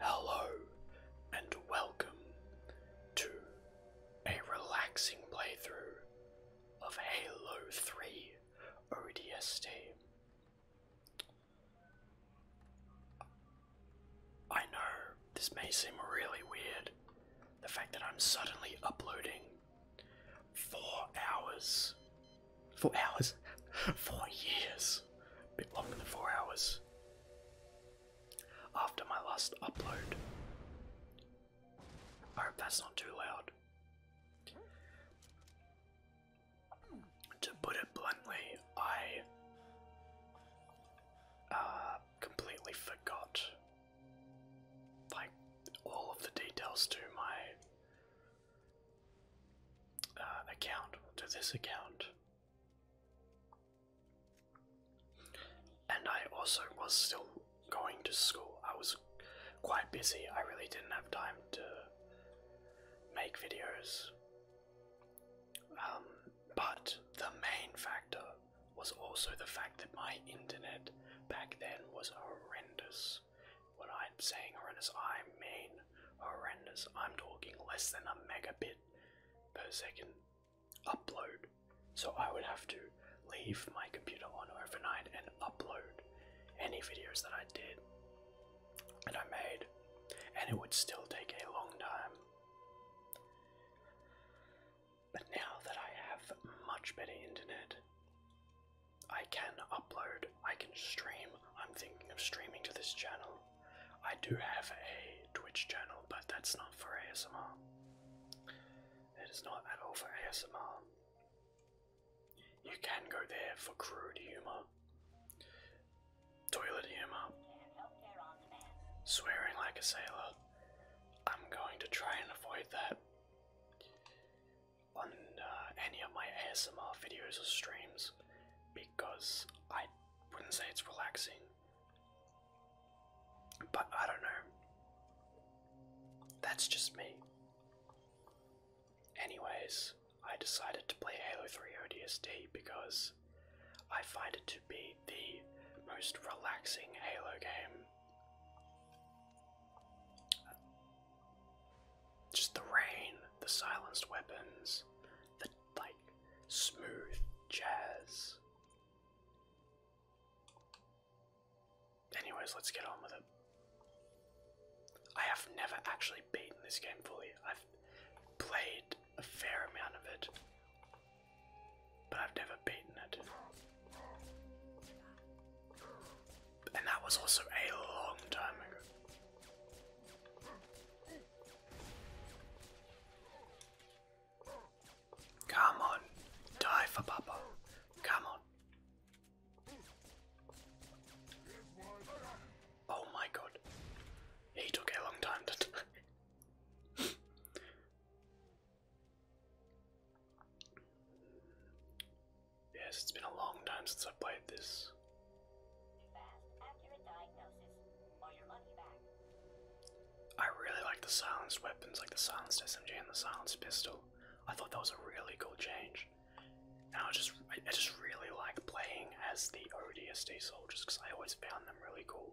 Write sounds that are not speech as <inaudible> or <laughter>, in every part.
Hello, and welcome to a relaxing playthrough of Halo 3 ODST. I know this may seem really weird, the fact that I'm suddenly uploading four hours Four hours? Four years! A bit longer than four hours. After my last upload. I hope that's not too loud. To put it bluntly, I uh, completely forgot like all of the details to my uh, account to this account. And I also was still going to school. I was quite busy. I really didn't have time to make videos. Um, but the main factor was also the fact that my internet back then was horrendous. What I'm saying horrendous, I mean horrendous. I'm talking less than a megabit per second upload. So I would have to leave my computer on overnight and upload any videos that I did and I made, and it would still take a long time. But now that I have much better internet, I can upload, I can stream I'm thinking of streaming to this channel. I do have a Twitch channel, but that's not for ASMR. It is not at all for ASMR. You can go there for crude humor, toilet humor, swearing like a sailor. I'm going to try and avoid that on uh, any of my ASMR videos or streams because I wouldn't say it's relaxing. But I don't know. That's just me. Anyways, I decided to play Halo 3 ODST because I find it to be the most relaxing Halo game. Just the rain, the silenced weapons, the like smooth jazz. Anyways, let's get on with it. I have never actually beaten this game fully. I've played a fair amount of it, but I've never beaten it. And that was also a long time ago. Come on, die for Papa. Come on. Oh my god. He took a long time to Yes, it's been a long time since I played this. I really like the silenced weapons, like the silenced SMG and the silenced pistol. I thought that was a really cool change. And I just, I just really like playing as the ODST soldiers because I always found them really cool.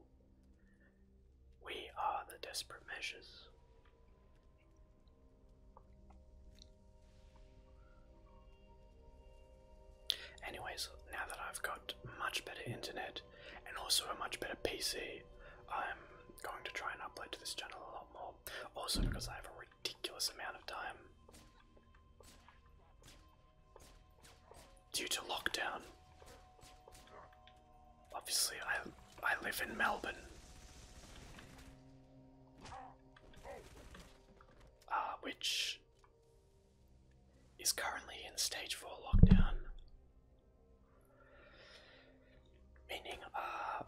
We are the Desperate Measures. Anyways, now that I've got much better internet and also a much better PC, I'm going to try and upload to this channel a lot more. Also, because I have a ridiculous amount of time. Due to lockdown. Obviously, I, I live in Melbourne. Uh, which is currently in stage 4 lockdown. Meaning, uh,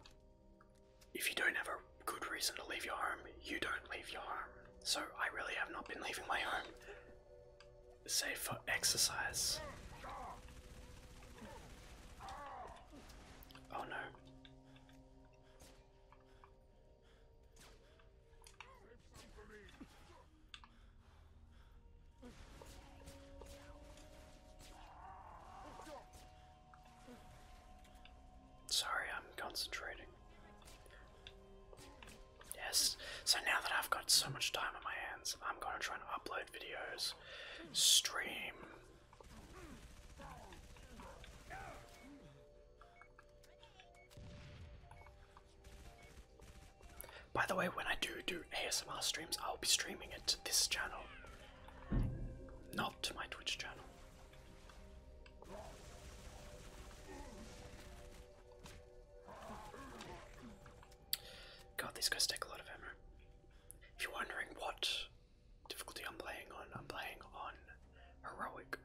if you don't have a good reason to leave your home, you don't leave your home. So I really have not been leaving my home, save for exercise. Oh no. Sorry, I'm concentrating. Yes, so now that I've got so much time on my hands, I'm gonna try and upload videos, stream, by the way, when I do do ASMR streams, I'll be streaming it to this channel, not to my Twitch channel. God, these guys take a lot of ammo. If you're wondering what difficulty I'm playing on. I'm playing on heroic.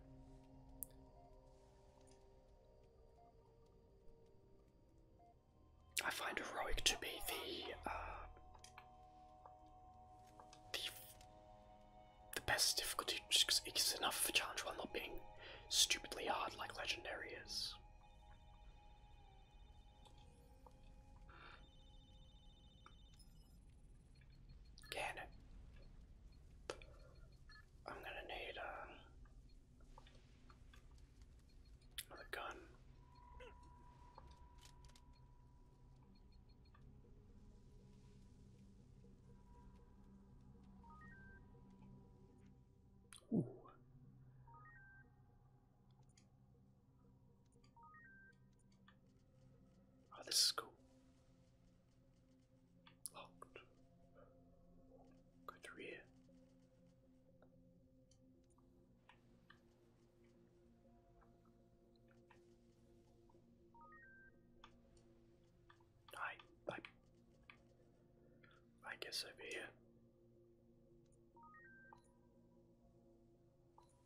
I find heroic to be the uh, the best difficulty because it's enough of a challenge while not being stupidly hard like legendary is. Cannon. I'm gonna need um, gun. Oh, this is cool. Locked. Go through here. I, I, I guess over here.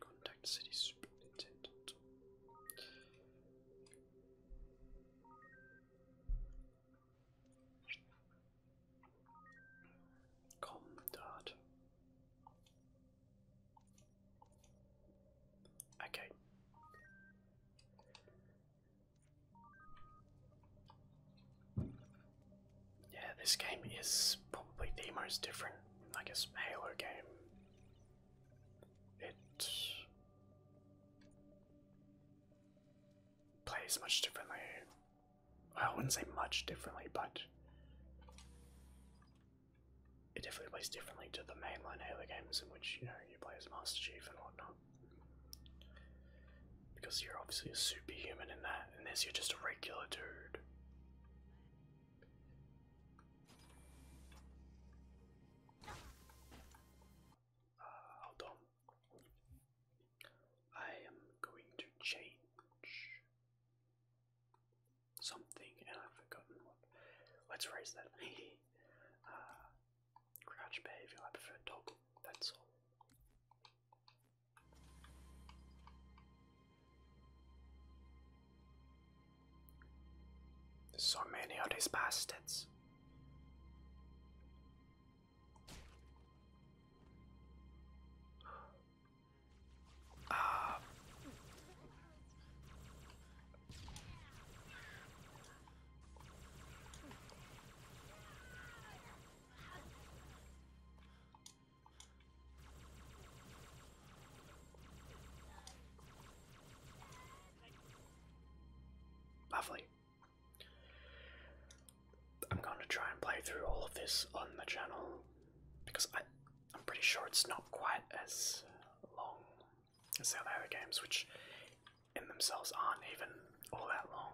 Contact city superintendent. Comdard. Okay. Yeah, this game is probably the most different, I guess, Halo game it plays much differently. I wouldn't say much differently, but it definitely plays differently to the mainline Halo games in which, you know, you play as Master Chief and whatnot. Because you're obviously a superhuman in that, and this you're just a regular dude. Uh, hold on. I am going to change something and I've forgotten what. Let's raise that. <laughs> uh, crouch behavior, I prefer toggle, that's all. So many of these bastards. Uh, Lovely. I'm going to try and play through all of this on the channel because I, am pretty sure it's not quite as long as the other games, which in themselves aren't even all that long.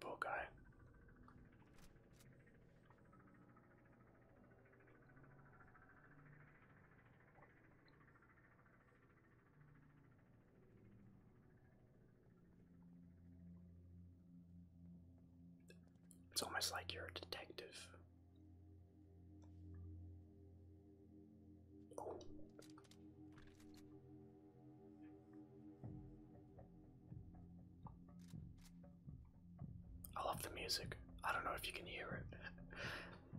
Poor It's almost like you're a detective. I love the music. I don't know if you can hear it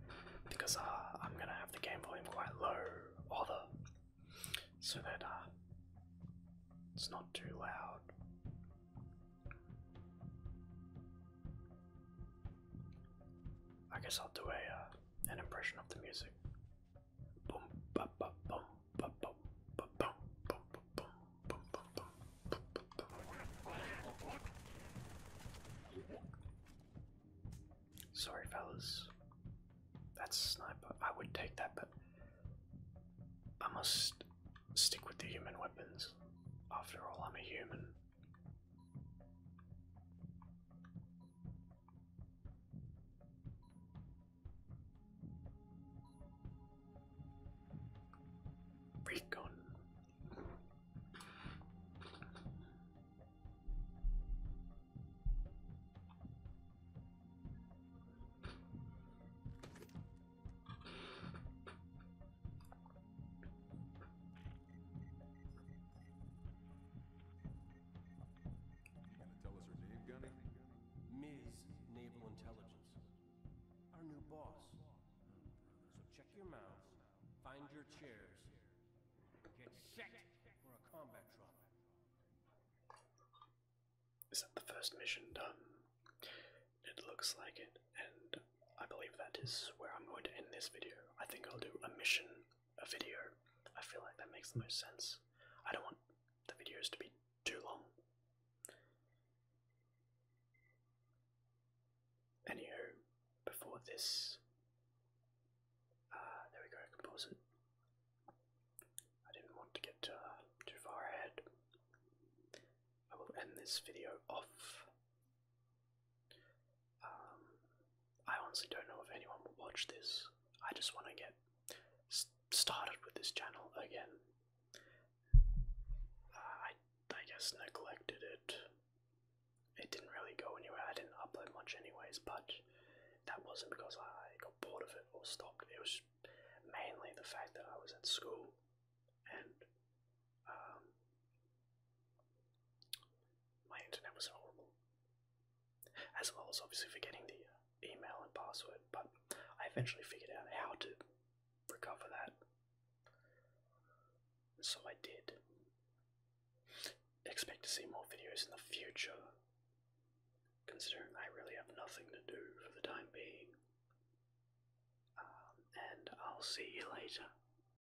<laughs> because uh, I'm gonna have the game volume quite low, or so that uh, it's not too loud. I guess I'll do a uh, an impression of the music. Boom, ba, ba, boom, ba, boom, ba, boom, boom, boom, boom, boom, boom, boom, boom, boom, boom. Sorry, fellas. That's sniper. I would take that, but I must stick with the human weapons. After all, I'm a human. Recon. Ms. Naval Intelligence. Our new boss. So check your mouths, find your chairs, get set for a combat trial. Is that the first mission done? It looks like it, and I believe that is where I'm going to end this video. I think I'll do a mission a video. I feel like that makes the most sense. I don't want the videos to be too long. Anywho, before this, uh, there we go, composite. I didn't want to get uh, too far ahead. I will end this video off um, I honestly don't know if anyone will watch this. I just want to get started with this channel again. Uh, I I guess neglected it. It didn't really go anywhere. I didn't upload much anyways, but that wasn't because I got bored of it or stopped. It was mainly the fact that I was at school and um, my internet was horrible. As well as obviously forgetting the uh, email and password, but I eventually figured out how to recover that. So I did. Expect to see more videos in the future, considering I really have nothing to do for the time being. Um, and I'll see you later.